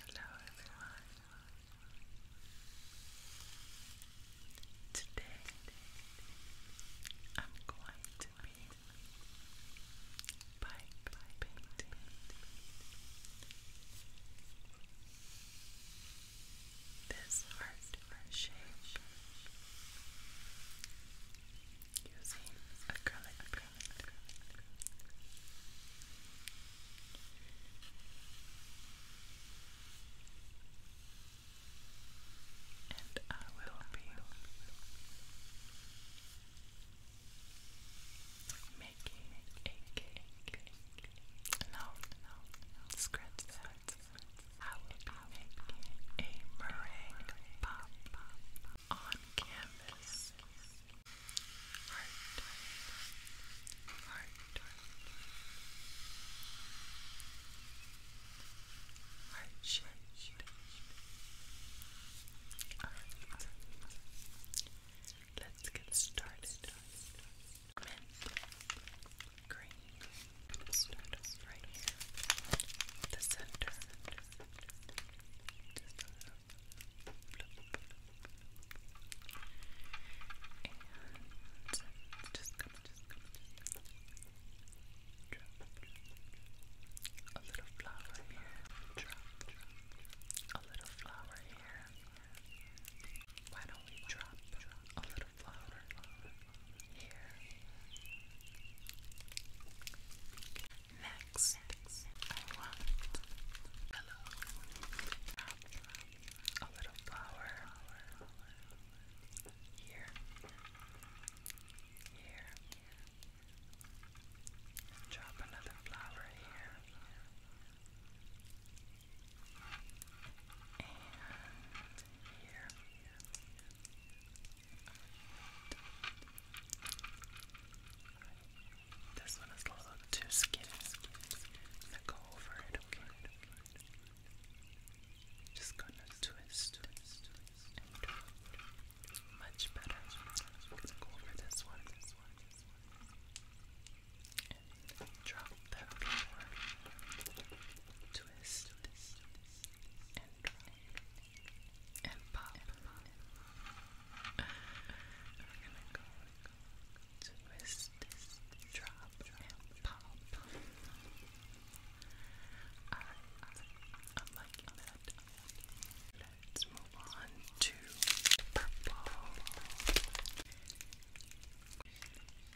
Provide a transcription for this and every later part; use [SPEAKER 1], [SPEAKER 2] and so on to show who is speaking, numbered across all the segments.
[SPEAKER 1] Hello everyone. Today I'm going to be painting. This heart shape using acrylic, acrylic, acrylic, And I will be making a cake. No, no, scratch that. I will be making a meringue pop on canvas. Heart, heart, heart shaped. let's get started. Mint green. Start us right here the center just gonna, just gonna, just drop a little flower here, drop, drop a little flower here. Why don't we drop a little flower here? Next, I want hello. A little flower here, here. Drop another flower here, and here. Alright. This one is a little too skinny. I'm gonna go over it, okay? Just gonna twist, twist, and twist. Much better. I'm gonna go over this one, this one, this one. And drop that over. Twist, twist, twist, and drop and pop. We're gonna go twist, this, drop, and pop. Alright, I'm liking that. Let's move on to purple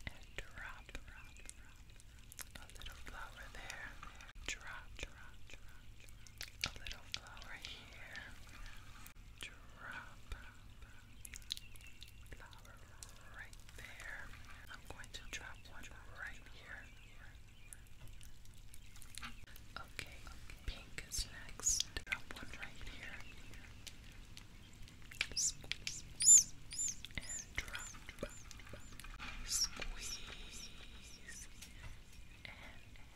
[SPEAKER 1] and drop. A little flower there. Drop, A little flower here. Drop. Flower right there. I'm going to drop one right here. Okay, pink is next. Drop one right here drop, squeeze, and drop, and squeeze, and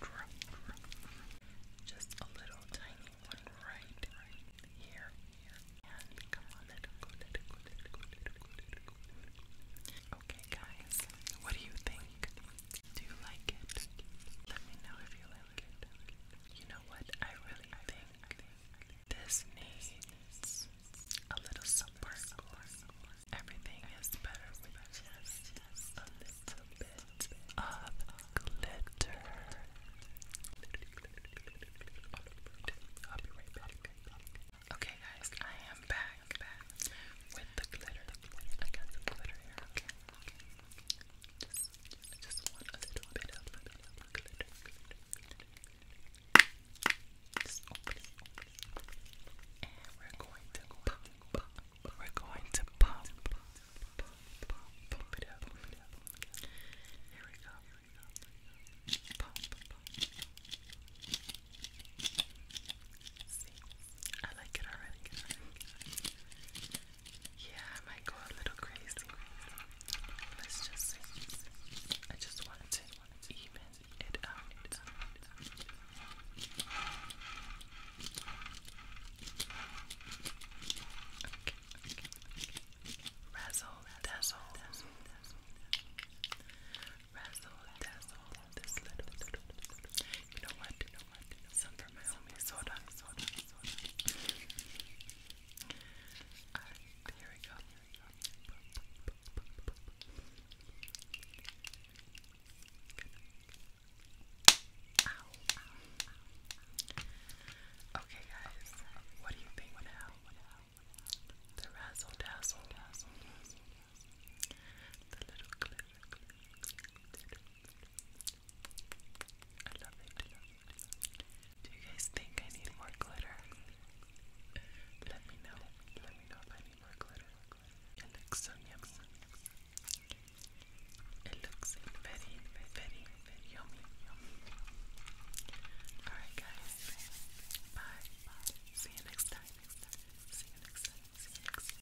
[SPEAKER 1] drop, just a little tiny one right here, and come on, Okay, guys, what do you think? Do you like it? Let me know if you like it. You know what? I really think this needs a little sparkle. Everything is better with just a bit of glitter. Okay, guys, I am back with the glitter. I got some glitter here. Okay. Just, just one a little bit of glitter, glitter, glitter. Just open it, open it. And we're going to pop, pop, We're going to pop, pop, it up, pop it up. Here we go, here we See, I like it already. Yeah, I might go a little crazy. Let's just see. I just wanted to even it out. Okay, okay, okay. Razzle, dazzle, dazzle, dazzle, dazzle. Razzle, dazzle, this little, little, little. You know what? You want some for my homies. Hold on, hold on, hold on. Alright, here we Okay, guys, what do you think I Do you guys think I need more glitter? Let me know. Let me know if I need more glitter. It looks so yummy. It looks very, very, very yummy. Alright guys. Bye. See you next time. See you next time. See you next